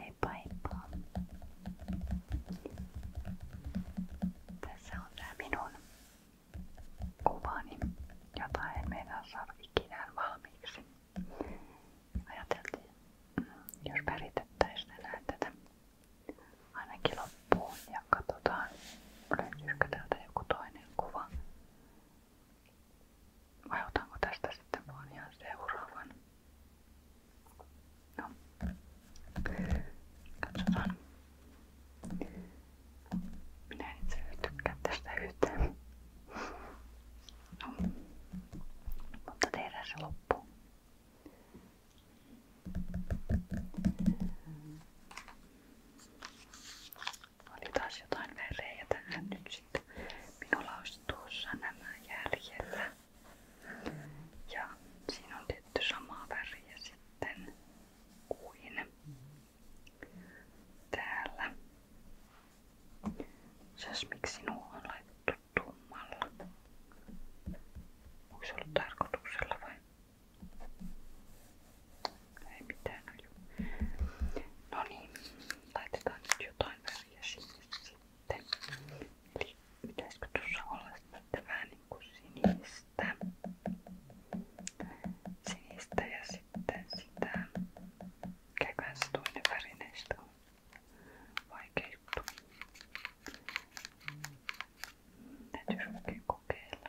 Heippa heippa. Tässä on tää minun kuvani, jota en meinaa saada ikinään valmiiksi. Ajateltiin, mm, jos päritettäisiin enää tätä ainakin loppuun ja katsotaan löytyisikö täältä joku toinen kuva vai otanko tästä sitten vaan ihan seuraavan? No, katsotaan. Minä en itse tykkää tästä yhtään. No, mutta tehdään se loppuun. Oli taas jotain verejä tähän että minulla olisi tuossa nämä jäljellä. Ja siinä on tietty samaa väriä sitten kuin täällä. Mitäs miksi nuo on laitettu tummalla? Onko se ollut tarkoituksella vai? Ei mitään aju. No niin, laitetaan nyt jotain väriä sinne sitten. Eli pitäisikö tuossa olla sitten vähän niinku sinistä. Sinistä ja sitten sitä. Käykään se toinen väri näistä on vaikea juttu. Täytyy oikein kokeilla.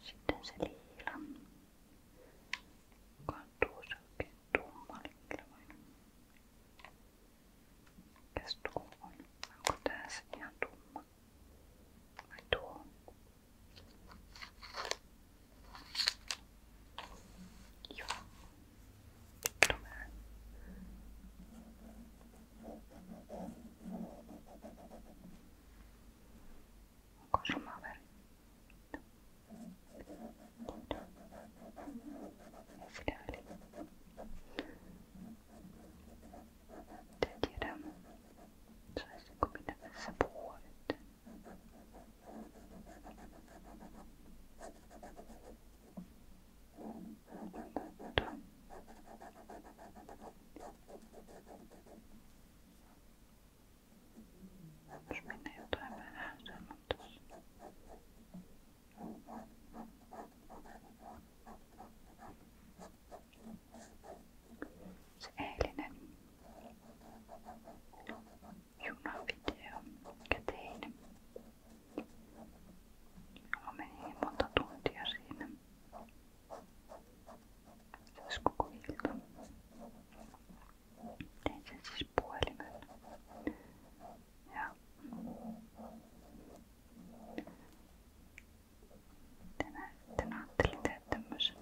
Sitten se liila. Kantuu se oikein tummalle kyllä vain. Mikäs tuo on? Onko tää se ihan tumma? Vai tuo? Joo. Tämä. Onko sama väri? Ei sitä väliä. En tiedä, saisinko minä tässä puhua nyt. Jos menee jotain vähän semmoittaisi. Se eilinen junavideo, mikä tein, Mulla meni niin monta tuntia siinä. Siis koko ilta. Tein sen siis puhelimella. Ja tänään sitten ajattelin tehdä tämmösen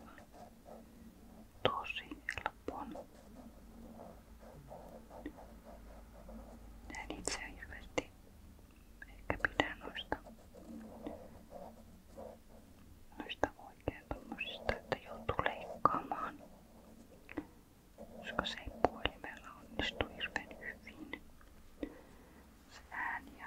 tosi helpon. En itse hirveästi Ehkä pidän noista, noista oikein tommosista, että joutuu leikkaamaan, koska se ei puolimella onnistu hirveän hyvin se ääni ja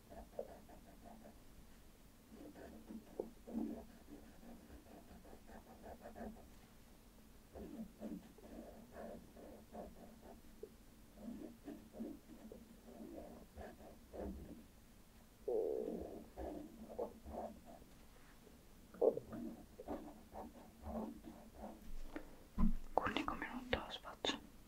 Kunniinko minun taas vatsa?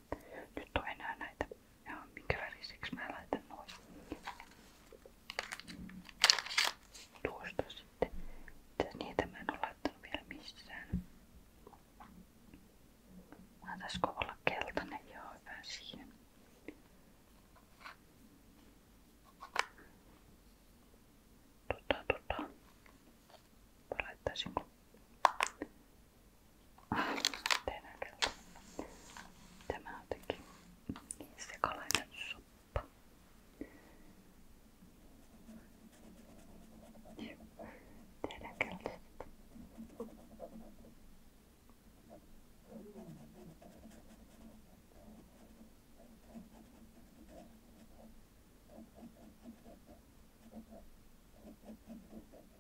vain. Nyt on enää näitä. Ja minkä väriseksi mä laitan noin. Tuosta sitten. Niitä mä en ole laittanut vielä missään. Mä taisko olla keltainen ja hyvä siihen. Tota, tota. Vai laittaisinko tehdään Tämä on jotenkin niin sekalainen soppa. Tehdään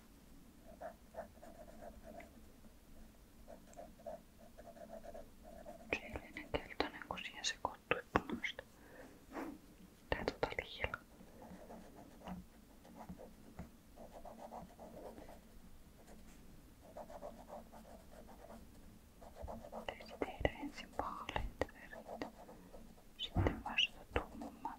Sielinen keltainen, kun siihen sekoittui punaista. Tää tota liila. Pitäisi tehdä ensin vaaleita verit, sitten vasta tuumummat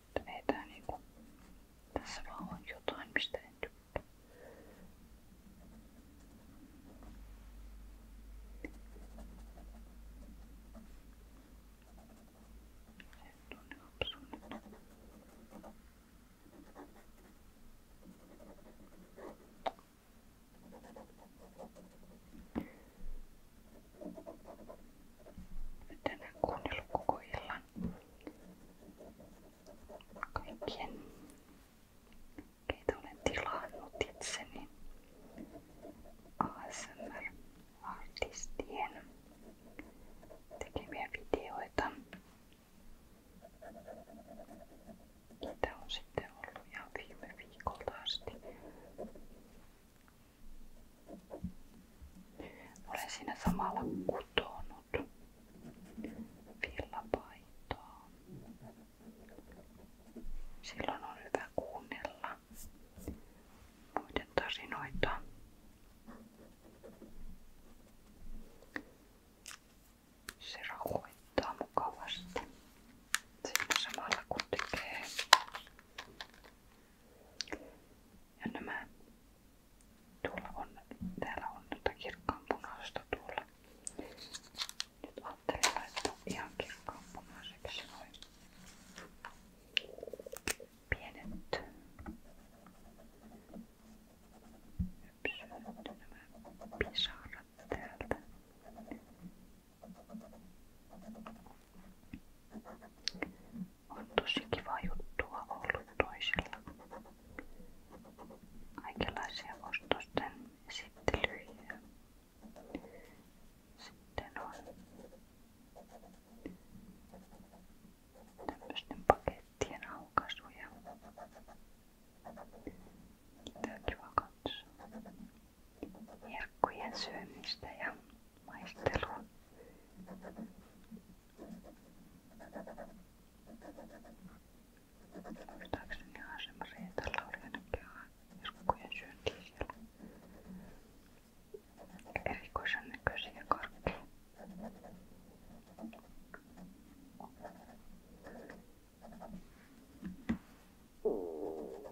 Mutta ei tää niinku... Tässä vaan on jotain, mistä en tykkää. Sen tuonne hopsuun. Nyt en kuunnellut koko illan kaikkien, keitä olen tilannut itseni ASMR-artistien tekemiä videoita. Niitä on sitten ollut ihan viime viikolta asti. Olen siinä samalla kutonut villapaitaa. Silloin on hyvä kuunnella muiden tarinoita. Se rauhoittaa mukavasti siinä samalla kun tekee ja nämä, tuolla on, täällä on tätä tuota kirkkaanpunaista tuolla. Nyt ajattelin laittaa ihan kirkkaanpunaiseksi noin pienet ypsyyt, nämä pisarat täältä on ollut toisilla. Kaikenlaisia ostosten esittelyjä. Sitten on tämmöisten pakettien aukasuja. Niitä on kiva ja maistelua. Muistaakseni ihan semmoisia, että Lauri ainakin on iskukujen syöntiin siellä. Erikoisen näköisiä karkkeja. Joo,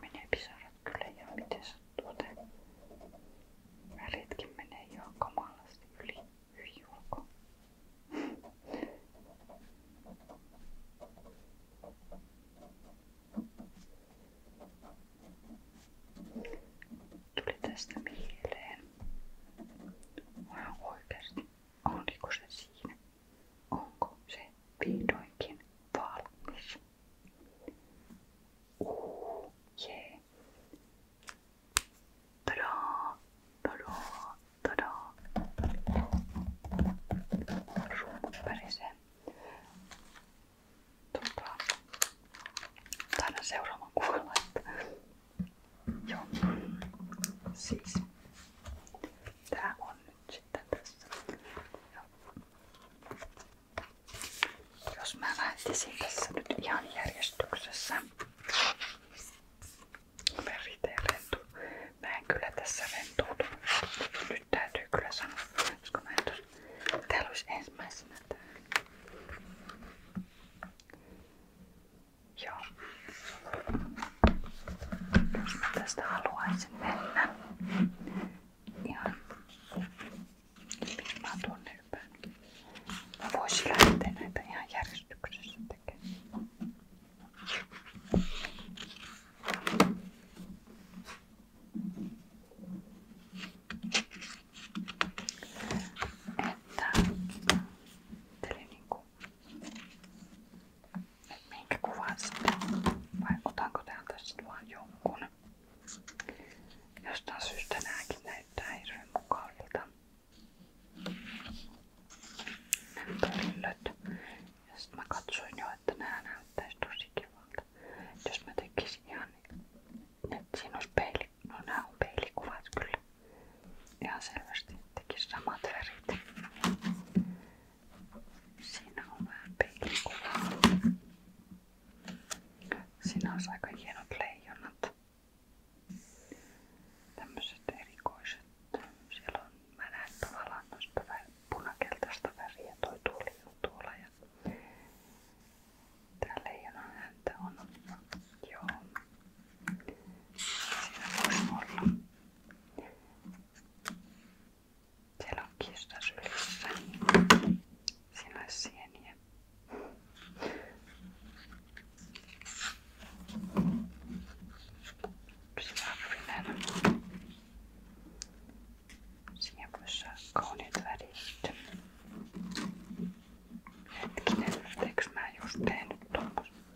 Menee pisarat kyllä ja miten sattuu tää. Väritkin menee jo kamalasti yli, yli ulko. tästä mieleen. oikeasti Oliko se siinä? Onko se vihdoinkin valmis? Uuu, jee. Tadaa, tadaa, tadaa. Ruumut pärisee. Tuota, taidan seuraavan kuvalla, että Joo. Siis. Tää on nyt sitten tässä. Ja. Jos mä lähtisin tässä nyt ihan järjestyksessä. Veriteen rentu. Mä en kyllä tässä rentoutunut. Nyt täytyy kyllä sanoa, koska mä en tos... Täällä olisi ensimmäisenä tää. Joo. Jos mä tästä haluaisin mennä. Ihan. Mä tuonne ympään. Mä voisin lähteä näitä ihan järjestyksessä tekemään. Että, eli niin kuin Minkä kuvan sitten? Vai otanko täältä sitten vaan jonkun? Jostain syystä nääkin näyttää hirveän mukavilta. Ja sitten mä katsoin jo, että nää näyttäisi tosi kivalta. Jos mä tekisin ihan, niin, että siinä olisi peili, no nää on peilikuvat kyllä ihan selvästi teki samat värit. Siinä on vähän peilikuvaa. Siinä on aika hienot leijonat. Tämmöiset erikoiset. Siellä on, mä näen tavallaan noista punakeltaista väriä. Toi tuoli on tuolla. Ja Tää leijonan häntä on. Joo, siellä on kista sylissä. Siinä olisi sieniä. Siinä voisi saada kauniit värit. Hetkinen, eikö mä just tehnyt tommosen?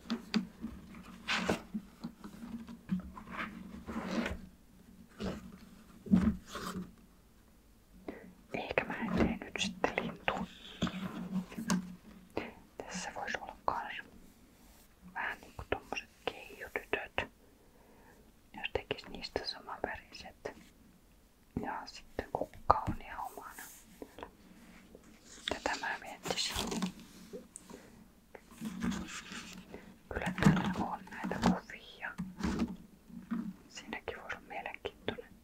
Eikä mä en tee nyt sitten lintua. Tässä voisi olla kans vähän niinku tommoset keijutytöt. Jos tekis niistä samanväriset. Ja sitten kukka on ihan omana. Tätä mä miettisin. Kyllä täällä on näitä kuvia. Siinäkin voi olla mielenkiintoinen.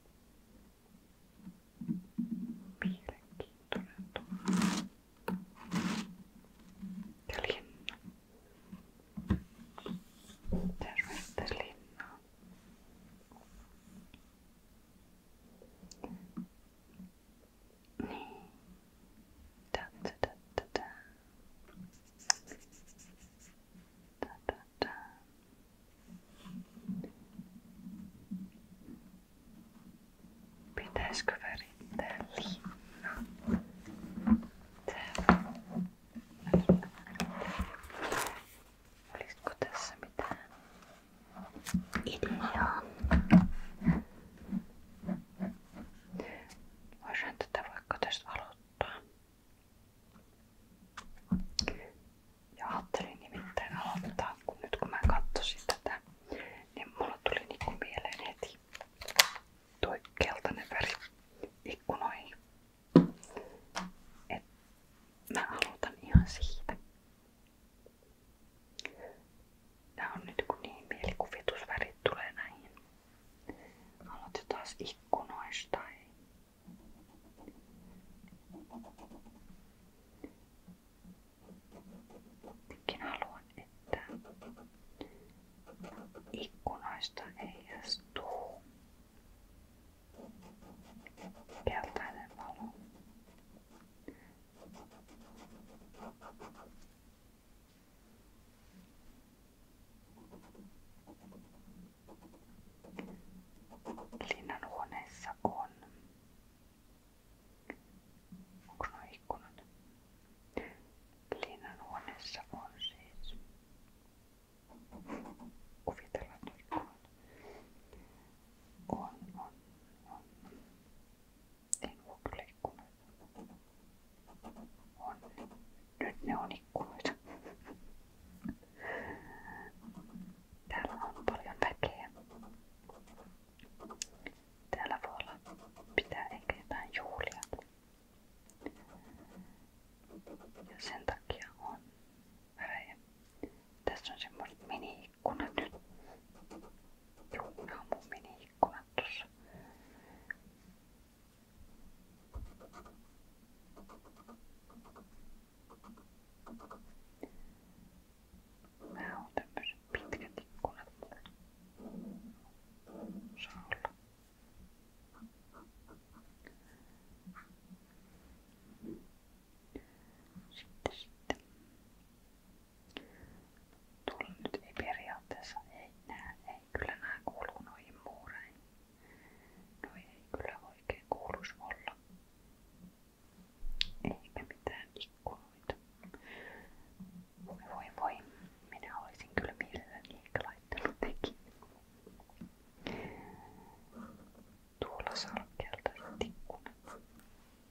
Mielenkiintoinen tuo. Ja linna. Terveistä linnaa niin. Tää, tää, tää, tää, tää. Tää, tää, tää. Pitäisikö värittää liinaa? Täällä. Olisiko tässä mitään идеон. Voisihan tätä vaikka tästä aloittaa. Ja ajattelin nimittäin aloittaa, kun nyt kun mä katsoin tätä, niin mulla tuli niinku mieleen heti toi keltainen väri ikkunoihin. Et mä aloitan ihan siitä. Tää on nyt kun niin mielikuvitusvärit tulee näihin. Haluatko taas ikkunoista? Ei? Minkin haluan, että ikkunoista heijastuu keltainen valo. Linnanhuoneessa on. Onko nuo ikkunat? Linnanhuoneessa on siis. Kuvitellaan ikkunat on, on, on. En ole kyllä ikkunoita. On. Nyt ne on ikkunoita. Täällä on paljon väkeä. Täällä voi olla pitää ehkä jotain juhlia. Ja sen takia on värejä. Tässä on semmoiset mini-ikkunat nyt. Juu, nämä on mun mini-ikkunat tossa. Mä oon tämmöiset pitkät ikkunat mulla. Saa olla. Sitten, sitten. Tuolla nyt ei periaatteessa, ei nää, ei kyllä nää kuuluu noihin muureihin. Noi ei kyllä oikein kuuluis olla. Eikä mitään ikkunoita. Voi voi voi, minä olisin kyllä mielelläni ehkä laittanut tekin. Tuolla salkkeelta ikkunat.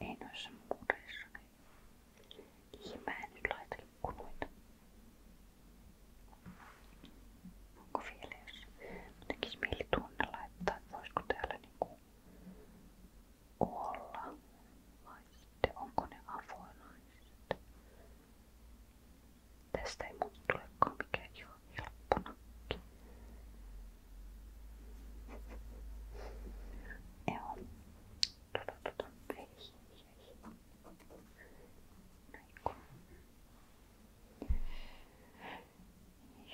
Ei noissa muureissa. Ja mä en nyt laita ikkunoita. Onko vielä jos tekisi mieli tunne laittaa, että voisiko täällä niinku olla vai sitten onko ne avoinaiset. Tästä ei muuta tulekaan mikään ihan helpponakki. Joo. Tota, tota. Hei, hei, hei.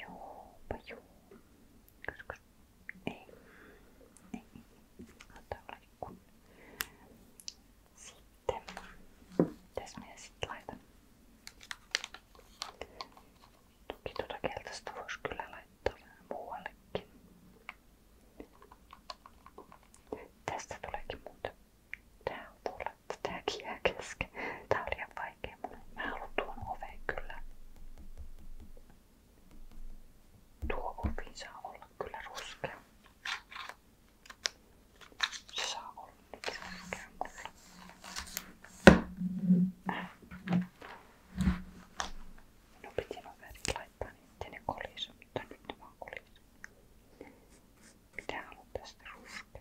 Joopa joo. Koska Onks... Ei. Ei. Antaa olla joku. Sitten. Mitäs minä sitten laitan? Toki tuota keltaista voisi kyllä laittaa vähän muuallekin. Tästä tuleekin muuta. Tää on tuolla, että tääkin jää kesken. Tää on liian vaikea mulle. Mä haluan tuon oveen kyllä. Tuo muffi saa olla kyllä ruskea. Se saa olla nyt ruskea. Minun no piti nuo värit laittaa niin ettei ne kolise, mutta nyt ne vaan kolise. Pitää olla tästä ruskea.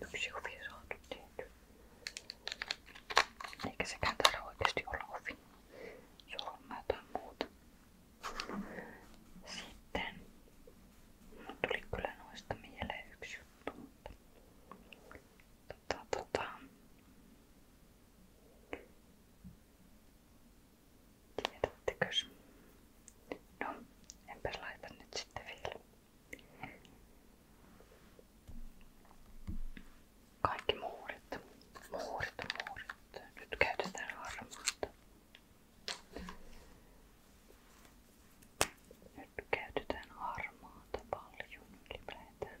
Yksi huvi saatu tehty. Eikä sekään taida oikeasti olla huvi. Se on jotain muuta. Sitten mun tuli kyllä noista mieleen yksi juttu, mutta tota, tota. Tiedättekös? No, enpä laita nyt sitten vielä. Kaikki muurit, muurit, muurit. Nyt käytetään harmaata. Nyt käytetään harmaata paljon ylipäätään.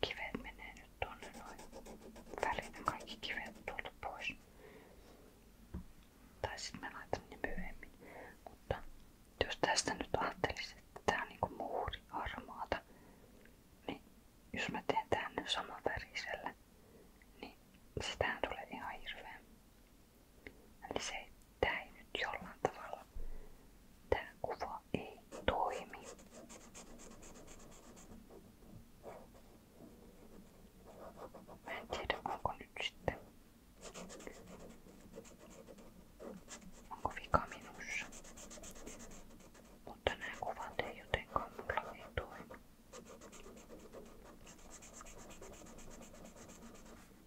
Kivet menee nyt tuonne noin. Väliin kaikki kivet tuolta pois. Tai sitten mä laitan ne myöhemmin. Mutta jos tästä nyt ajattelisi, että tää on niinku muuri harmaata, niin jos mä teen tänne saman värisellä, niin sitähän tulee ihan hirveä. Eli se, tää ei nyt jollain tavalla, tää kuva ei toimi. Mä en tiedä onko nyt sitten, onko vika minussa, mutta nämä kuvat ei jotenkaan mulla ei toimi.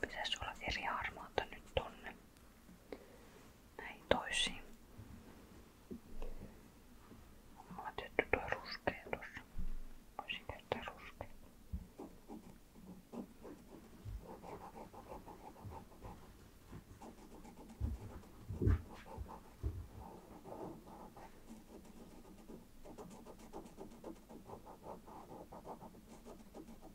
Pitäisi olla eri harmaata nyt tonne. Näin toisiin. Mulla on tietty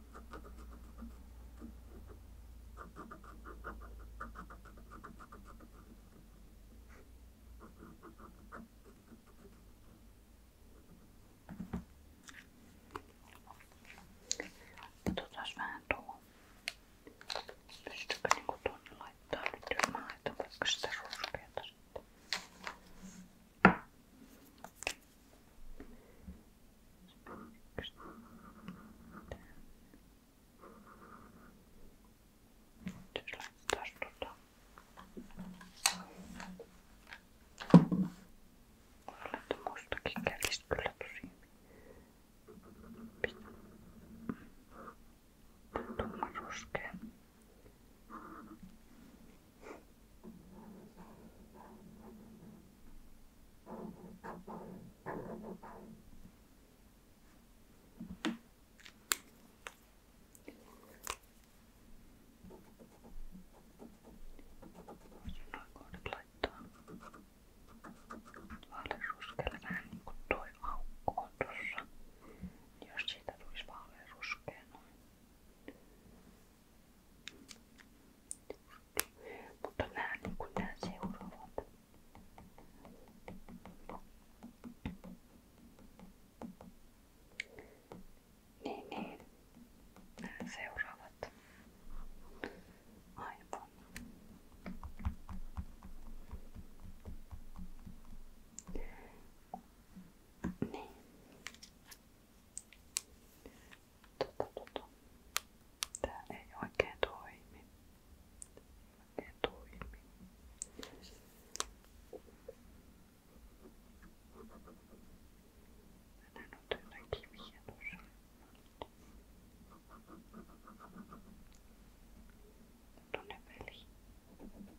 Katsotaan vähän tuohon. Pystykö niinku tuonne laittaa nyt, jos mä laitan vaikka sitä ruskeata sitten. Nyt jos laitetaan tuota. Laitetaan mustakin kädistä kyllä tosi Tumma ruskea. Voisin noin kohdat laittaa vaaleanruskelle vähän niin kuin toi aukko on tossa. Jos siitä tulisi vaaleanruskea noin juttu. Mutta nämä, niin kuin nämä seuraavat. Niin, niin. Nämä seuraavat. Aivan. Niin tota, tota. Tää ei oikein toimi. Oikein toimi. Tänään on täällä kiviä tuossa. Tonne väliin. Mennään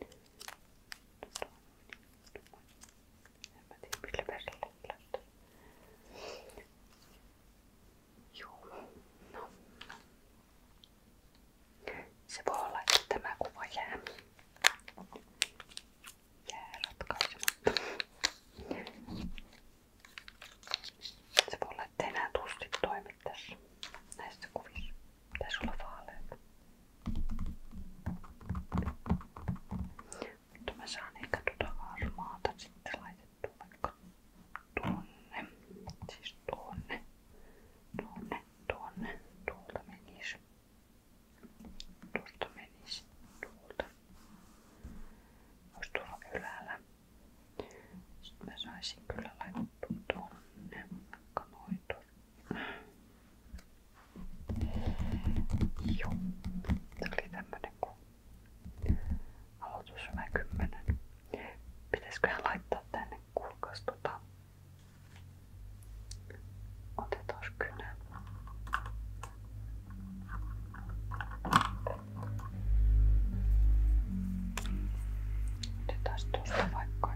En mä tiedä millä perillä löytyy. Joo, no. Se voi olla, että tämä kuva jää. Jää ratkaisematta. Se voi olla, että enää tussit toi näkyy tässä näissä kuvissa. Pitäisi olla vaaleita. Mutta mä saan ehkä tuota harmaata sitten laitettua vaikka tuonne. Siis tuonne. Tuonne, tuonne. Tuolta menisi. Tuosta menisi. Tuolta. Olisi tuolla ylällä. Sitten mä saisin kyllä laittua tuon kanoidor. Joo, tuli tämmönen kun aloitus 10. Pitäisköhän laittaa tänne kulkas tota. Otetaan kynä. Otetaan tuosta vaikka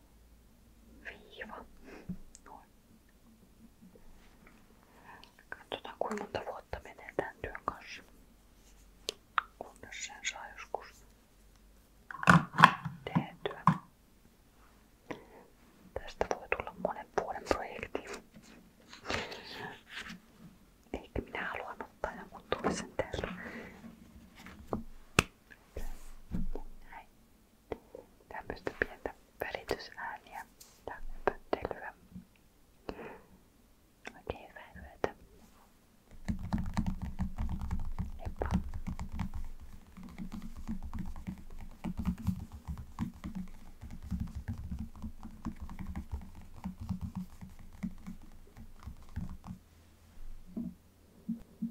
viiva. Noin. Katsotaan kuinka monta vuotta menee tämän työn kanssa. Kunnes sen saa joskus tehtyä. Tästä voi tulla monen vuoden projekti. Eikä minä haluan ottaa ja mun toisen täällä. Näin. Tämmöistä pientä väritysääniä ja pöttelyä. Oikein hyvää yötä. Heippa.